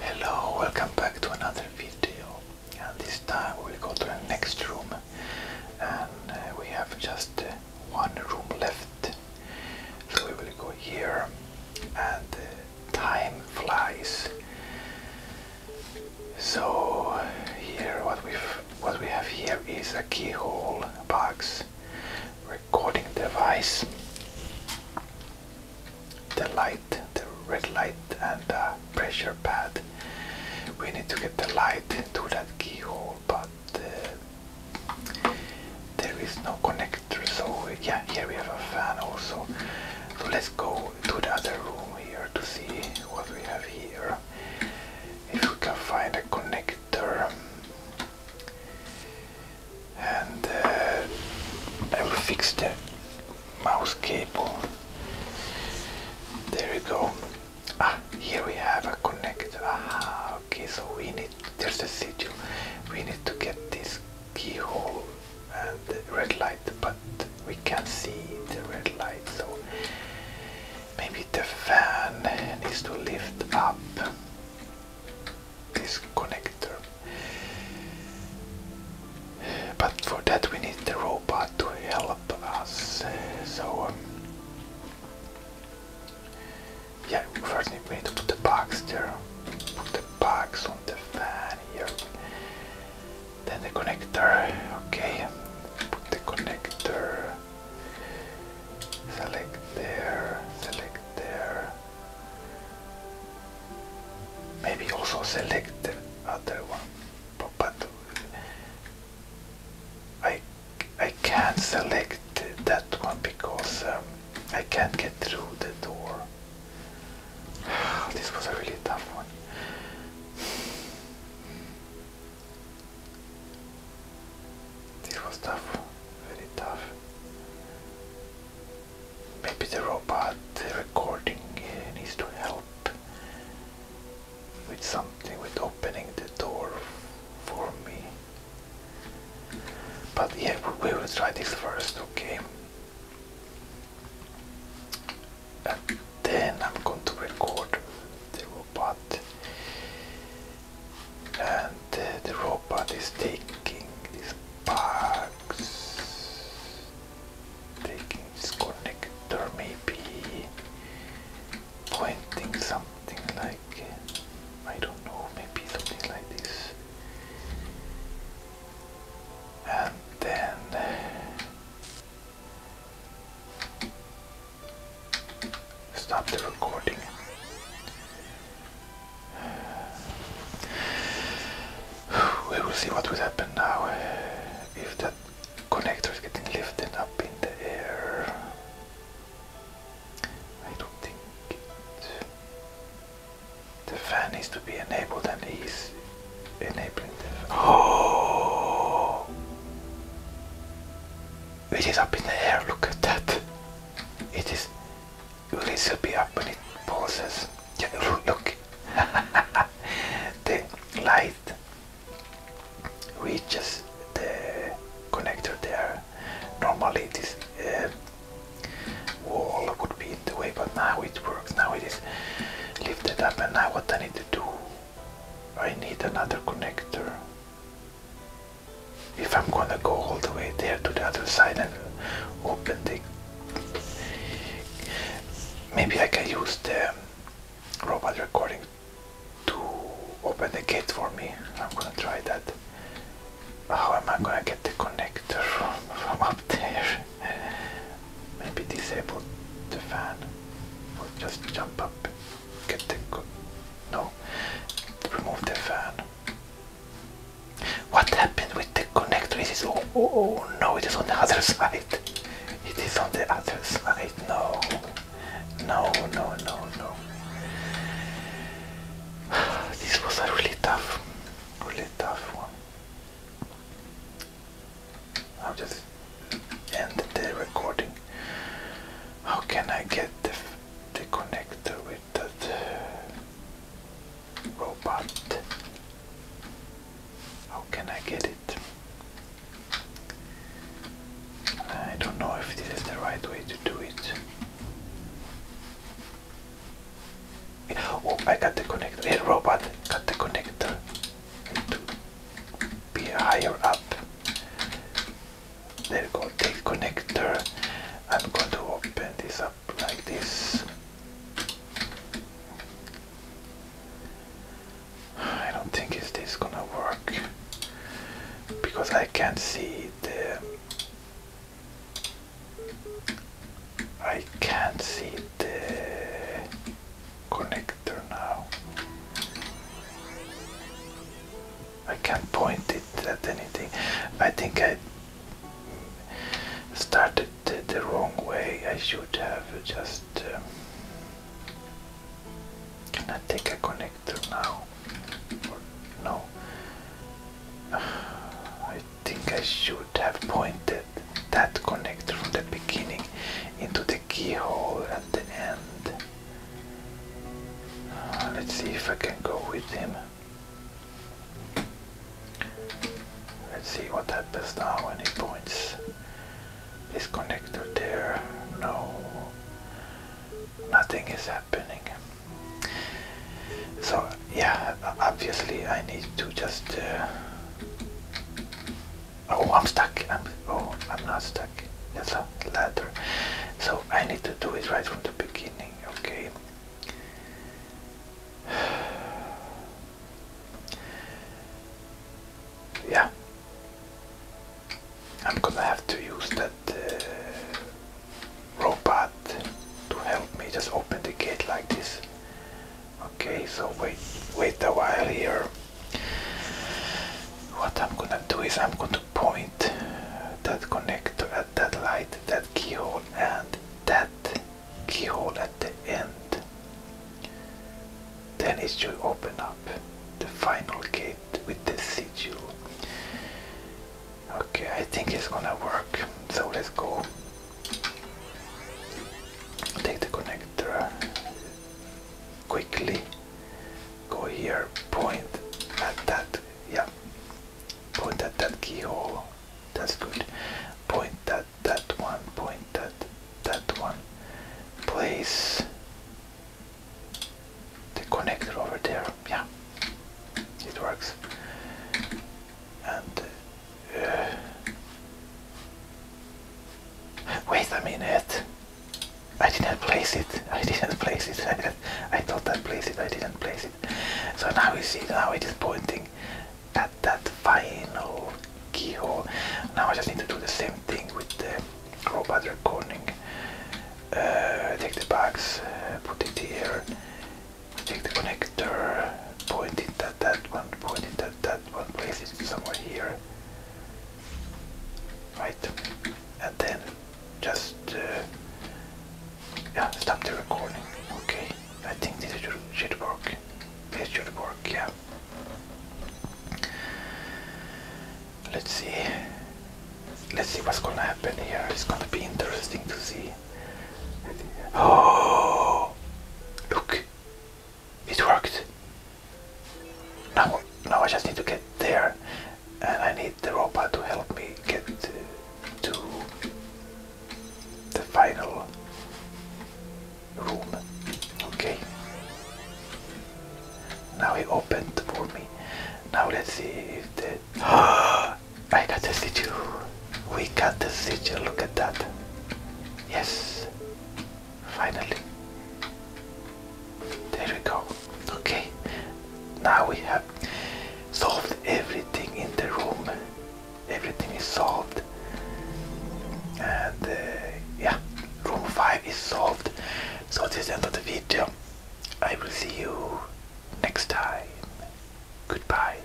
Hello, welcome back to another video and this time we will go to the next room and uh, we have just uh, one room left so we will go here and uh, time flies so here what we what we have here is a keyhole box recording device the light, the red light and the pressure pad. We need to get the light to that keyhole, but uh, there is no connector. So yeah, here we have a fan also. So let's go to the other room here to see what we have here. If we can find a connector and uh, I will fix the mouse cable. There we go. Ah, here we have a connector. Ah, okay, so we need, there's a signal. We need to get this keyhole and the red light, but we can't see the red light, so maybe the fan needs to lift up this connector. But for that we need the robot to help us. So um, yeah, first we need to put the box there. Put the box on the fan here. Then the connector. Okay, put the connector. Select there. Select there. Maybe also select the other one, but, I I can't select that one because um, I can't get through the door. This was a really tough one. This was tough, very tough. Maybe the robot recording needs to help with something, with opening the door for me. But yeah, we will try this first, okay? And then I'm going to record the robot and uh, the robot is taking these bugs, taking this connector maybe, pointing something like, I don't know, maybe something like this. And then Stop the recording. We will see what will happen now eh, if that connector is getting lifted up in the air. I don't think The fan needs to be enabled and he's enabling the fan. Oh! It is up in the air, look at that! it is little bit up when it pauses. Yeah, look, the light reaches the connector there. Normally this uh, wall would be in the way, but now it works. Now it is lifted up and now what I need to do, I need another connector if I'm gonna go all the way there to the other side and open the maybe I can use the robot recording to open the gate for me. I'm gonna try that. How am I gonna get the connector from, up there? Maybe disable the fan. Or just jump up, get the. No. Remove the fan. What happened with the connector? It is oh, oh, oh no, it is on the other side. It is on the other side. No, no, no, no, no. This was a really tough, really tough one. I'm just end the recording. How can I get the, the connector with that uh, robot? How can I get it? I don't know if this is the right way to do it. Oh, I got the connector. Hey, robot, got the connector be higher up. There you go, Take connector. I'm going to open this up like this. I don't think is this gonna work because I can't see the I can't see the connector now. I can't point it at anything. I think I started the, wrong way. I should have just. Uh, can I take a connector now? no. I think I should have pointed that connector from the beginning into the keyhole the end. Uh, let's see if I can go with him. Let's see what happens now when he points this connector there. No, nothing is happening. So yeah, obviously I need to just uh, Oh, I'm stuck. oh, I'm not stuck. That's a ladder. So I need to do it right from the beginning. Okay. Yeah. I'm gonna have to use that uh, robot to help me just open the gate like this. Okay, so wait, wait a while here. What I'm gonna do is I'm going to point that connector at that light, that keyhole, and that keyhole at the end. Then it should open up the final gate with the sigil. Okay, I think it's gonna work. So let's go. Take the connector, quickly go here point at that yeah point at that keyhole that's good point at that one point at that one place the connector over there yeah it works and wait a minute. I didn't place it. I didn't place it. I, did I thought I placed it. I didn't place it. So now you see, now it is pointing at that final keyhole. Now I just need to do the same thing with the robot recording. Uh, take the box, uh, put it here, take the connector point it that one, point it that one place, is somewhere here. Right, and then just uh, yeah, stop the recording. Okay, I think this should, should work. This should work, yeah. Let's see. Let's see what's gonna happen here. It's gonna be interesting to see. Oh, look, it worked. Now, now I just need to get there, and I need the robot to help me get to the final room. Okay. Now he opened for me. Now let's see if the. I got the statue. We got the sigil, look at that. Yes, finally. There we go. Okay, now we have solved everything in the room. Everything is solved. And uh, yeah, room 5 is solved. So this is the end of the video. I will see you next time. Goodbye.